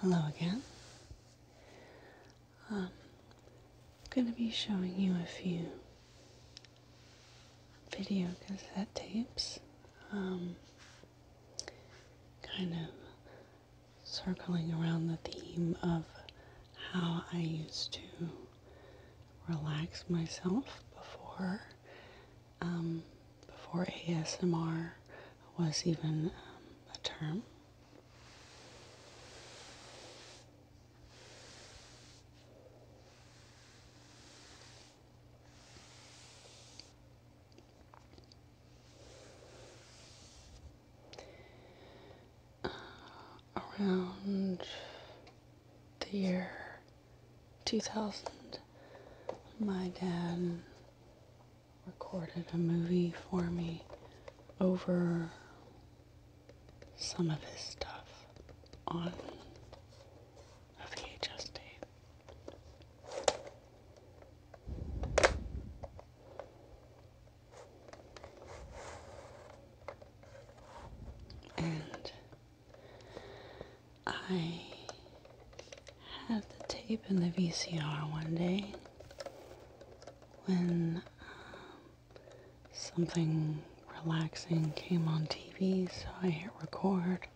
Hello again. I'm um, going to be showing you a few video cassette tapes, um, kind of circling around the theme of how I used to relax myself before um, before ASMR was even um, a term. Uh, around the year 2000, my dad recorded a movie for me over some of his stuff on a VHS tape. And I had the tape in the VCR one day when um, something relaxing came on TV, so I hit record,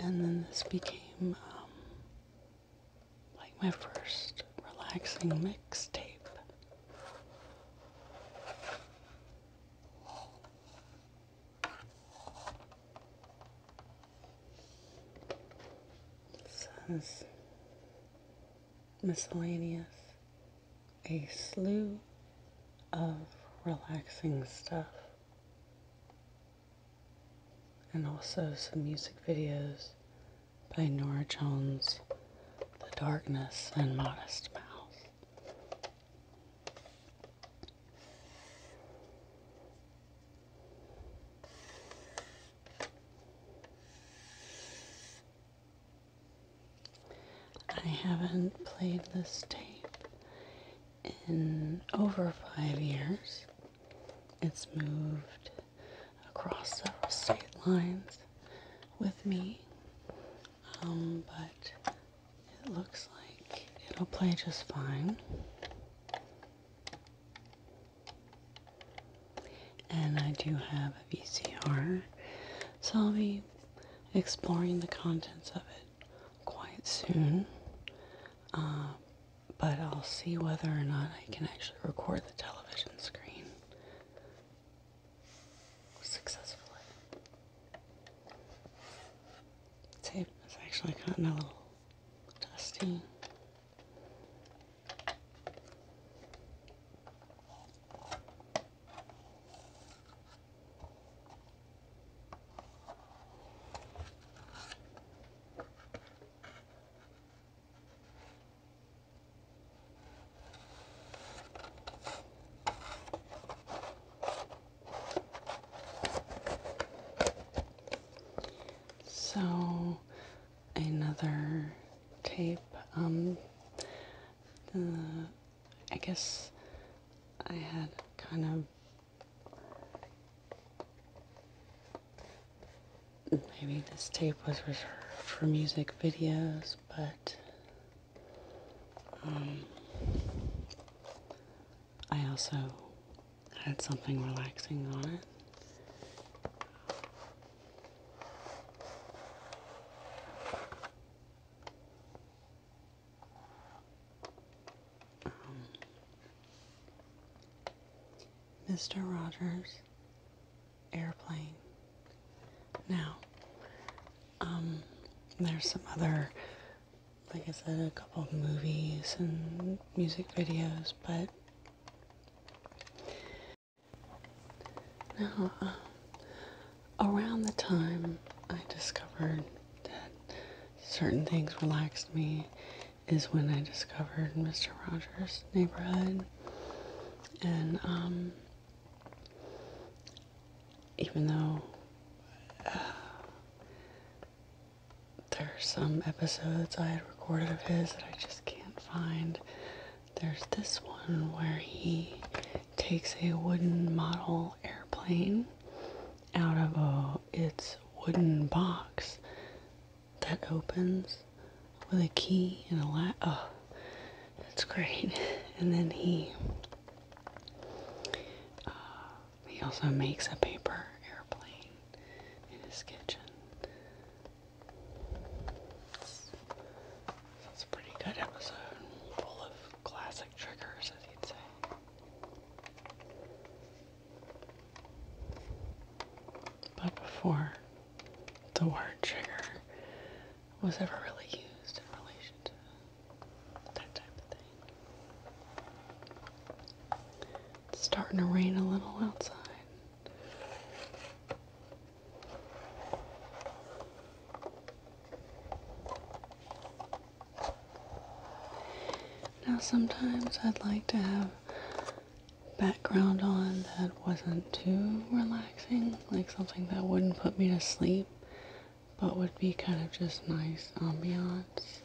and then this became um, like my first relaxing mixtape says miscellaneous a slew of relaxing stuff and also some music videos by Nora Jones, The Darkness and Modest Mouse. I haven't played this tape in over five years. It's moved across several state lines with me, um, but it looks like it'll play just fine. And I do have a VCR, so I'll be exploring the contents of it quite soon. Uh, but I'll see whether or not I can actually record the television screen successfully. It's actually cutting a little dusting. So another tape. Um, the, I guess I had kind of maybe this tape was reserved for music videos, but um, I also had something relaxing on it. Mr. Um, Rogers airplane. Now, um, there's some other like I said, a couple movies and music videos, but now uh, around the time I discovered that certain things relaxed me is when I discovered Mr. Rogers' Neighborhood, and um, even though. Uh, there are some episodes I had recorded of his that I just can't find. There's this one where he takes a wooden model airplane out of a, its wooden box that opens with a key and a latch. Oh, that's great. And then he uh, he also makes a paper airplane in his kitchen. It's, a pretty good episode, full of classic triggers, as you'd say. But before the word trigger was ever really used in relation to that type of thing. It's starting to rain a little outside. Now, sometimes I'd like to have background on that wasn't too relaxing, like something that wouldn't put me to sleep but would be kind of just nice ambiance.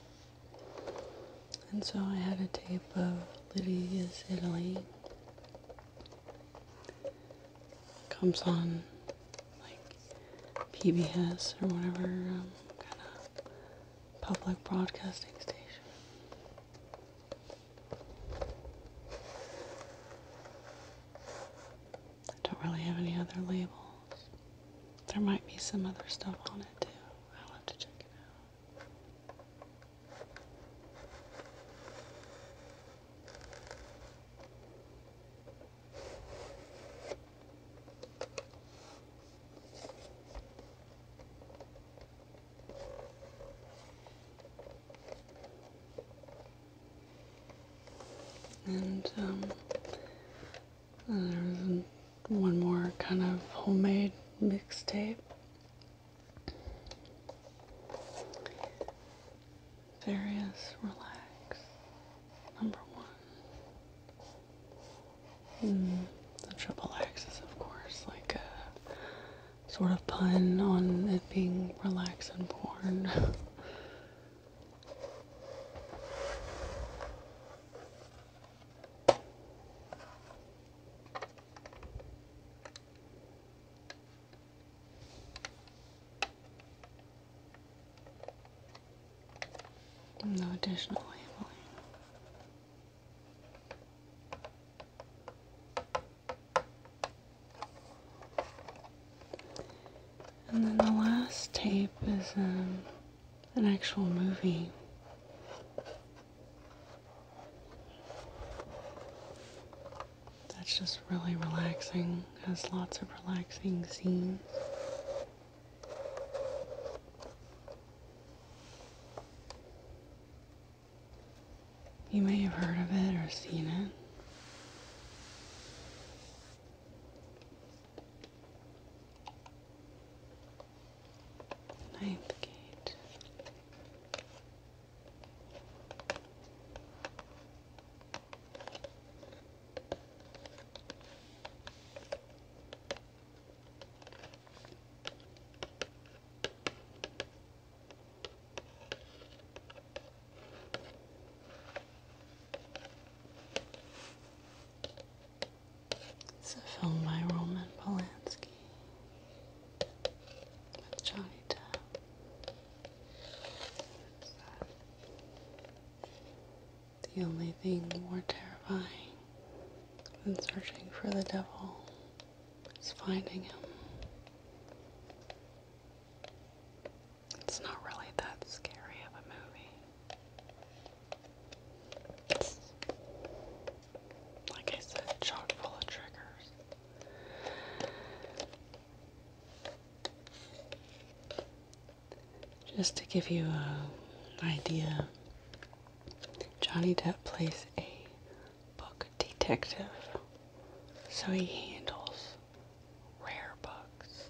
And so I had a tape of Lydia's Italy. Comes on like PBS or whatever um, kind of public broadcasting station. I don't really have any other label. There might be some other stuff on it too. I'll have to check it out. And um, there's one more kind of homemade mixtape. Various relax. Number one. Hmm, the triple X is of course like a sort of pun on it being relax and porn. No additional labeling. And then the last tape is um, an actual movie. That's just really relaxing, has lots of relaxing scenes. You may have heard of it or seen it. Ninth gate. It's a film by Roman Polanski with Johnny Depp. The only thing more terrifying than searching for the devil is finding him. It's not really that scary of a movie. like I said, chock full of triggers. Just to give you an idea, Johnny Depp plays a book detective, so he handles rare books.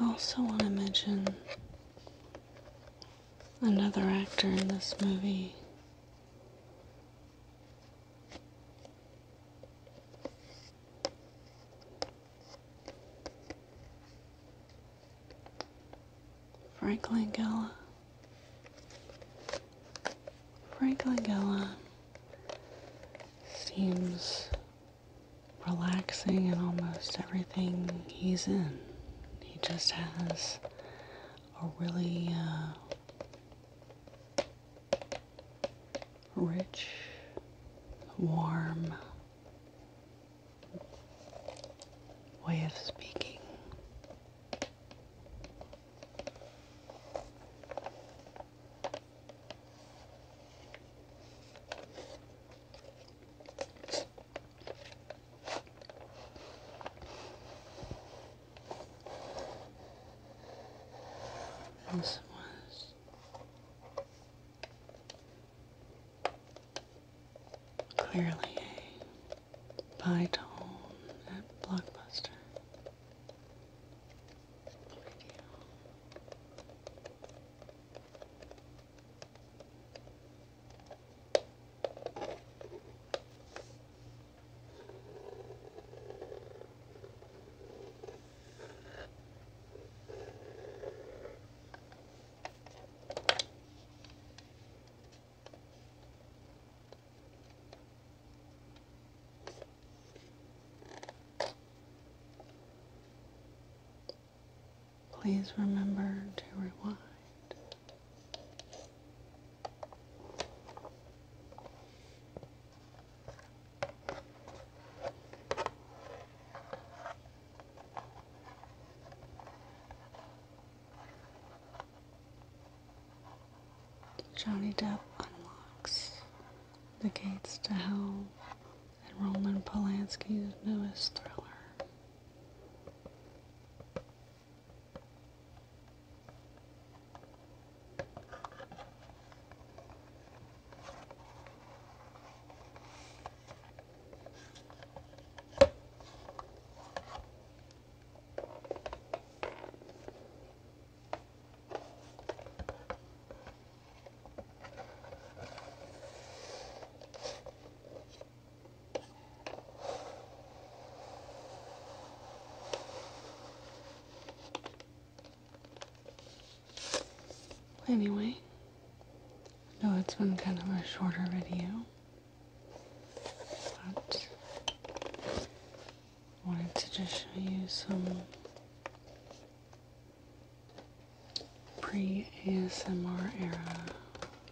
I also want to mention another actor in this movie. Franklin Langella. Franklin Langella seems relaxing in almost everything he's in. He just has a really uh, rich, warm way of speaking. This was clearly a Bye, Tom. at Blockbuster. Please remember to rewind. Johnny Depp unlocks the gates to hell in Roman Polanski's newest thriller. Anyway, no, it's been kind of a shorter video but wanted to just show you some pre-ASMR era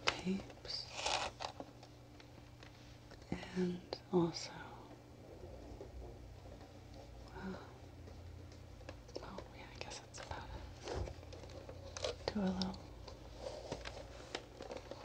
tapes and also uh, oh yeah I guess that's about it do little